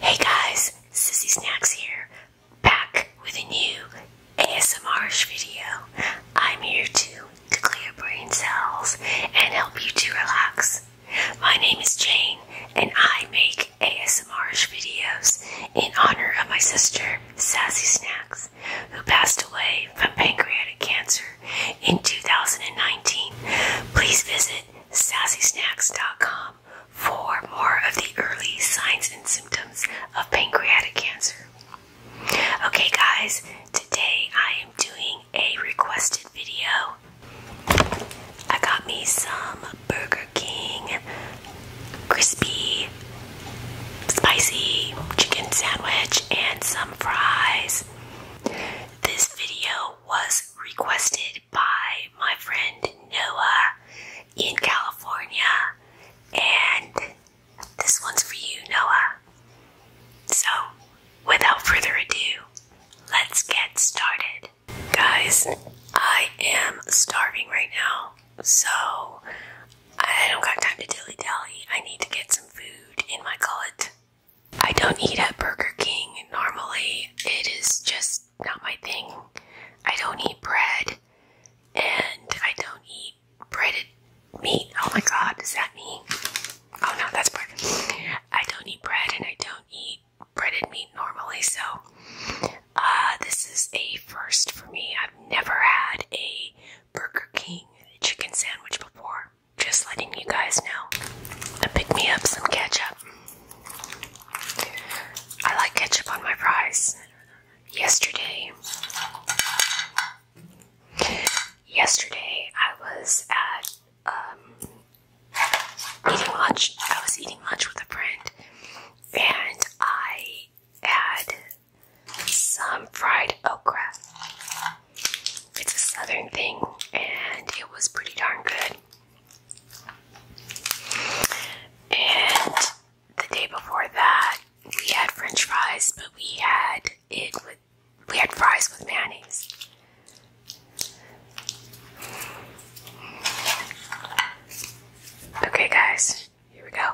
Hey guys, Sassy Snacks here, back with a new asmr video. I'm here to, to clear brain cells and help you to relax. My name is Jane and I make asmr videos in honor of my sister, Sassy Snacks, who passed away from pancreatic cancer in 2019. Please visit sassysnacks.com for more of the early signs and symptoms of pancreatic cancer. Okay, guys, today I am doing a requested video. I got me some Burger King crispy, spicy chicken sandwich and some fries. This video was requested by my friend Noah in California, and this one's for you, Noah. So, without further ado, let's get started. Guys, I am starving right now, so I don't got time to dilly dally. I need to get some food in my gullet. I don't eat at Burger King normally. It is just not my thing. I don't eat bread and I don't eat breaded meat. Oh my god, is that me? Oh no, that's bread. I don't eat bread and I don't eat breaded meat normally, so uh, this is a first for me. I've never had a Burger King chicken sandwich before. Just letting you guys know. I picked me up some ketchup. I like ketchup on my fries. Yesterday, yesterday I was at um, eating lunch. I was eating lunch with a friend, and I had some fried okra. It's a southern thing, and it was pretty darn good. And the day before that, we had French fries, but we had it with we had fries with mayonnaise. Okay, guys, here we go.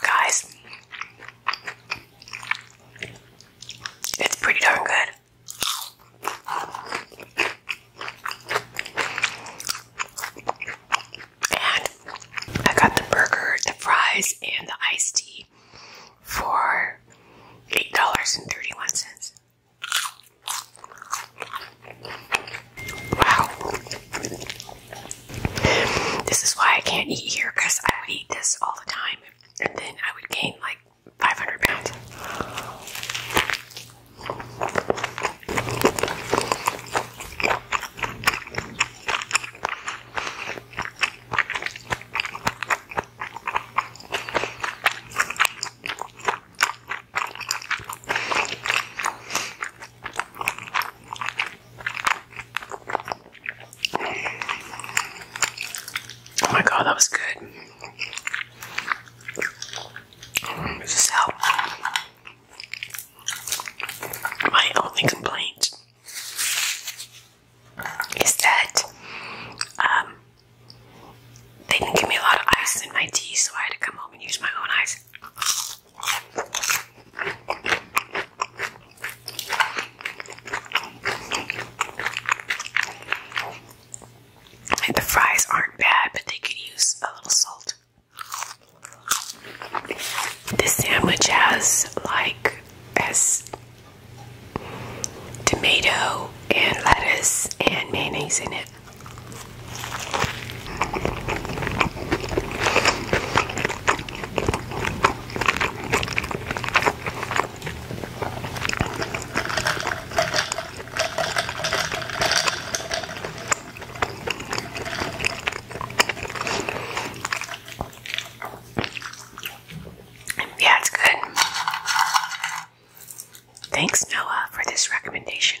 Guys, it's pretty darn good. And I got the burger, the fries, and the iced tea for $8.31. Wow. This is why I can't eat here because I would eat this all the time and then I would gain like 500 pounds. Oh my god, that was good. So, my only complaint is that um, they didn't give me a lot of ice in my tea, so I had to come home and use my own ice the fries aren't bad, but they could use a little salt. This sandwich has like has tomato and lettuce and mayonnaise in it. Yeah, it's good. Thanks, Noah, for this recommendation.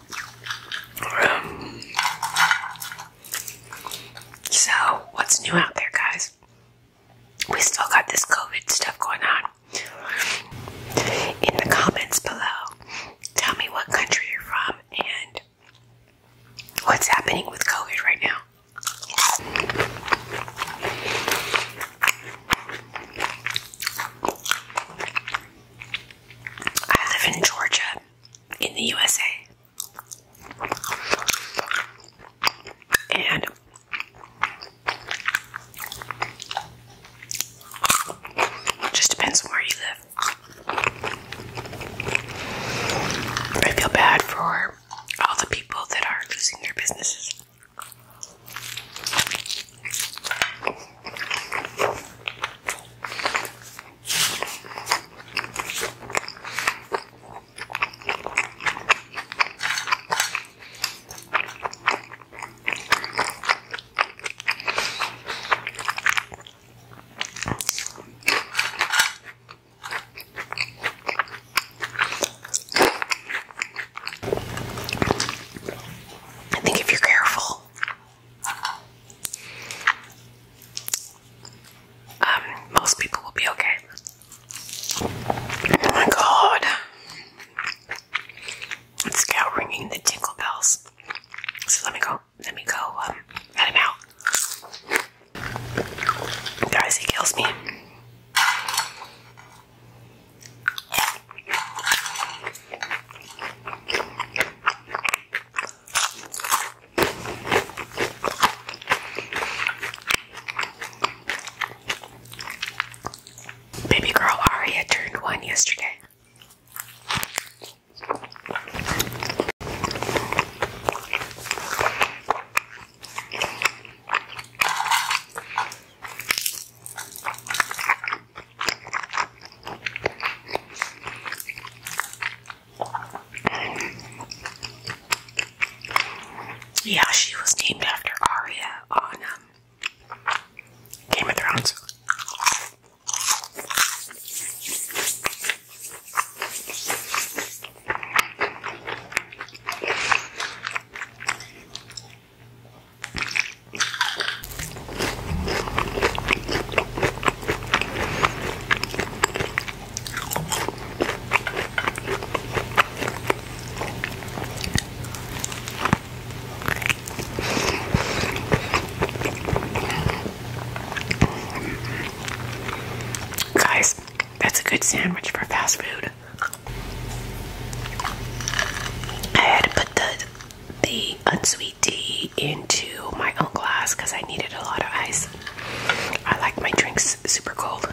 Um, so, what's new out there, guys? We still got this COVID stuff going on. In the comments below, tell me what country you're from and what's happening with COVID right now. I live in Georgia in the USA. And it just depends on where you live. I feel bad for all the people that are losing their businesses. I think if you're careful, um, most people will be okay. Oh my god. It's now ringing the tinkle bells. So let me go, let me go, um, let Guys, he kills me. Baby girl Aria turned one yesterday. Yeah, she was named after Arya on um, Game of Thrones. Guys, that's a good sandwich for fast food. I had to put the the unsweet into my own glass because I needed a lot of ice. I like my drinks super cold.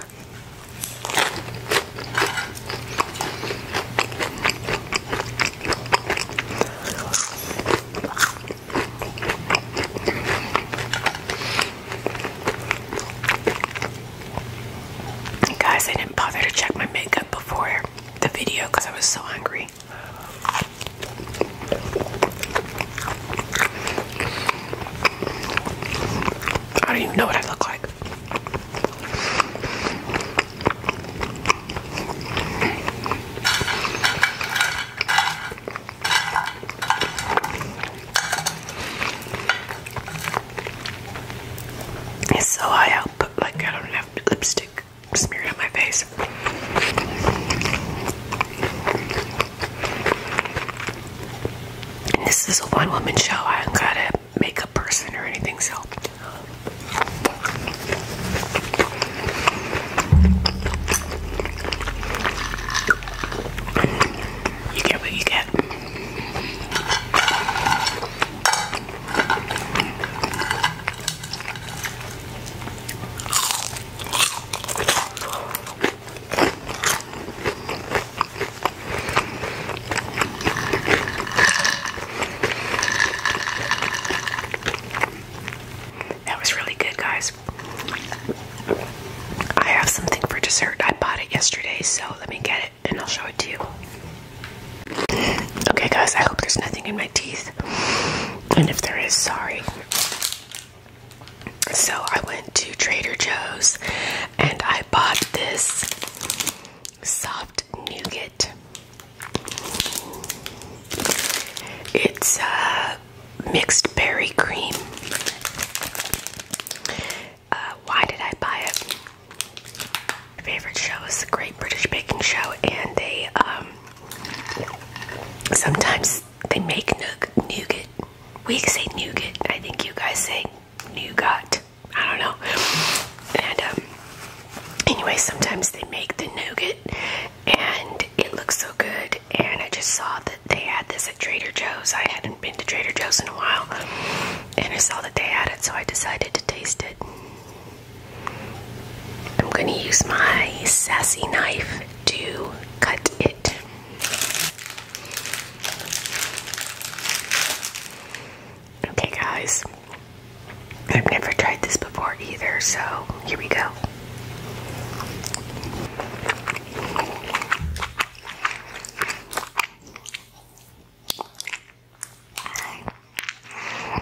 Guys, I didn't bother to check my makeup before the video because I was so hungry. I don't even know what I look like. It's so high up, like I don't have lipstick. Smear it on my face. this is a one woman show. I haven't got a makeup person or anything, so. You get what you get. That was really good, guys. I have something for dessert. I bought it yesterday, so let me get it and I'll show it to you. Okay, guys, I hope there's nothing in my teeth. And if there is, sorry. So I went to Trader Joe's and I bought this soft nougat. It's a uh, mixed berry cream. Uh, why did I buy it? favorite show is the Great British Baking Show, and they um, sometimes they make nougat. We say nougat. I think you guys say nougat. I don't know. And um, anyway, sometimes they make the nougat, and it looks so good. And I just saw that they had this at Trader Joe's. I hadn't been to Trader Joe's in a while, and I saw that they had it, so I decided to taste it. I'm going to use my sassy knife to cut it. Okay, guys, I've never tried this before either, so here we go.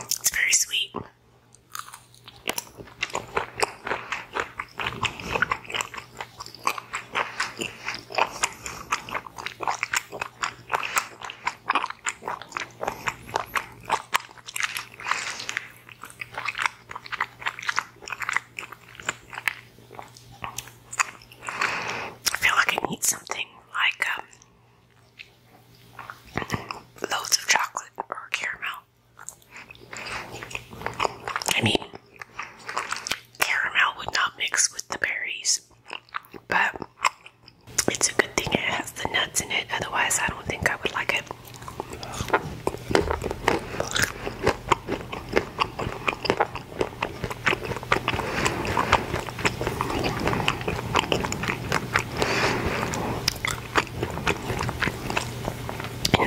It's very sweet. I feel like I need something like um, loads of chocolate or caramel. I mean, caramel would not mix with the berries, but it's a good thing it has the nuts in it, otherwise, I don't think I would like it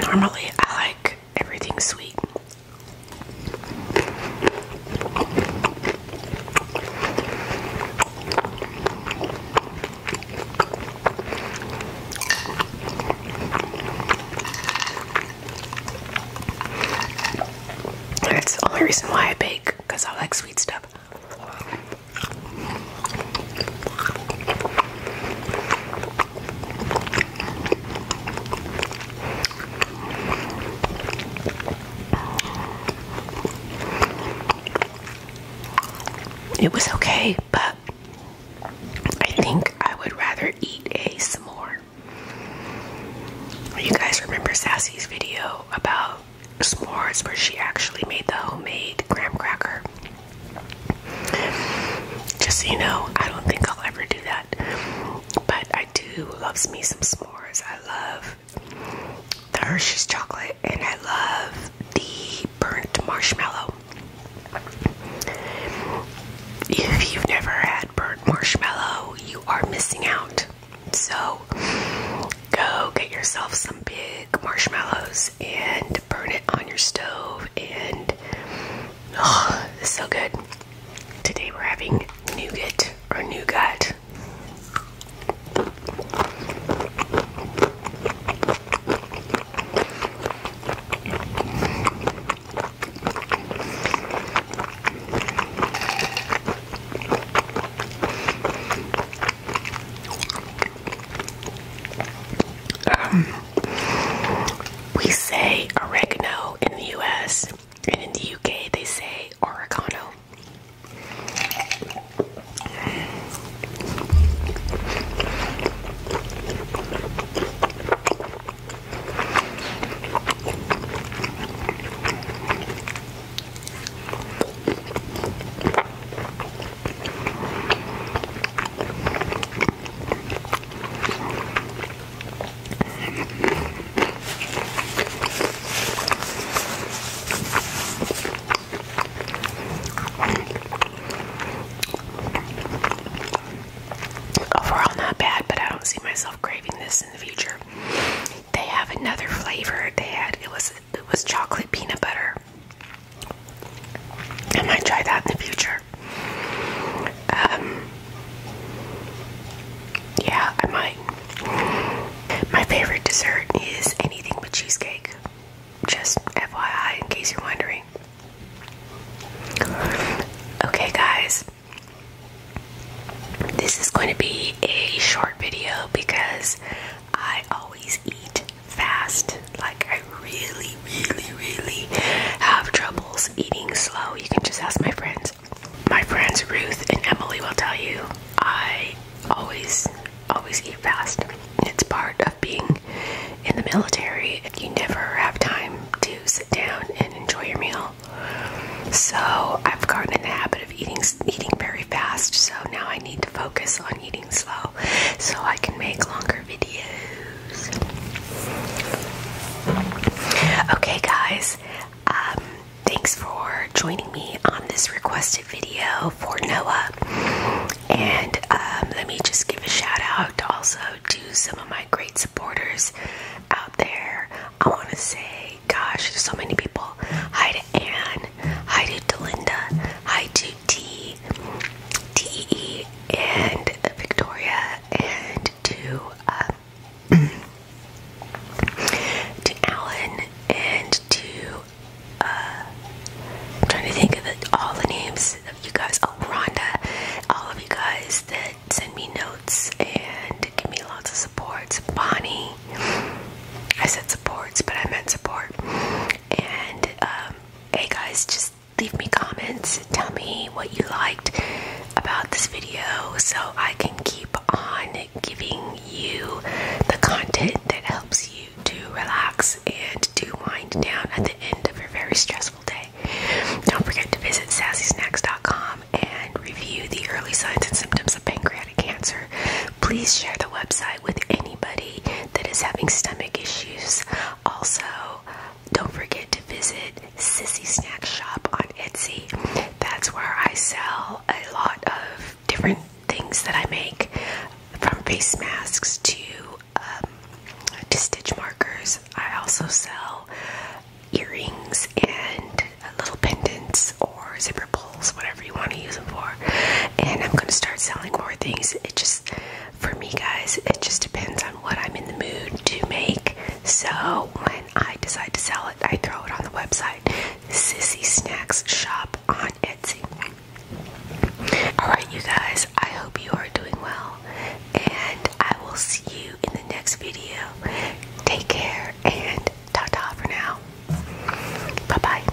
normally I like everything sweet. That's the only reason why I bake, because I like sweet stuff. It was okay, but I think I would rather eat a s'more. You guys remember Sassy's video about s'mores where she actually made the homemade graham cracker. Just so you know, I don't think I'll ever do that. But I do Loves me some s'mores. I love the Hershey's chocolate and I love the burnt marshmallow. If you've never had burnt marshmallow, you are missing out. So go get yourself some big marshmallows and burn it on your stove and oh, it's so good. Today we're having nougat or nougat. Um, we say oregano in the US, and in the UK they say oregano. Overall, not bad, but I don't see myself craving this in the future they have another flavor they had it was it was chocolate peanut butter I might try that in the future um, yeah I might my favorite dessert is anything but cheesecake just FYI in case you're wondering okay guys this is going to be a short video because I always eat fast. Like, I really, really, really have troubles eating slow. You can just ask my friends. My friends Ruth and Emily will tell you I always, always eat fast. It's part of being in the military. You never have time to sit down and enjoy your meal. So I've gotten in the habit of eating eating very fast. So now I need to focus on eating slow, so I can make longer videos. Okay, guys. Um, thanks for joining me on this requested video for Noah. And um, let me just give a shout out also to some of my great supporters out there. I want to say gosh, there's so many people. Hi to Anne. Hi to Delinda. Hi to T. T. E. and Victoria. And to um, to Alan and to uh, I'm trying to think of all the names of you guys. Oh, Rhonda. All of you guys that send me notes and give me lots of support. Bonnie. I said supports, but I meant support. And um, hey guys, just leave me comments. Tell me what you liked about this video so I can keep on giving you the content that helps you to relax and to wind down at the end of your very stressful day. Don't forget to visit sassysnacks.com and review the early signs and symptoms of pancreatic cancer. Please share the website with anybody that is having stomach issues. Also, don't forget to visit Sissy Snack Shop on Etsy. That's where I sell a lot of different things that I make, from face masks to um, to stitch markers. I also sell earrings and little pendants or zipper pulls, whatever you want to use them for. And I'm going to start selling more things. It just, for me, guys, it just depends on what I'm in the mood to make. So when I decide to sell it, I throw it on the website Sissy Snacks Shop on Etsy. Alright, you guys, I hope you are doing well, and I will see you in the next video. Take care and ta ta for now. Bye bye.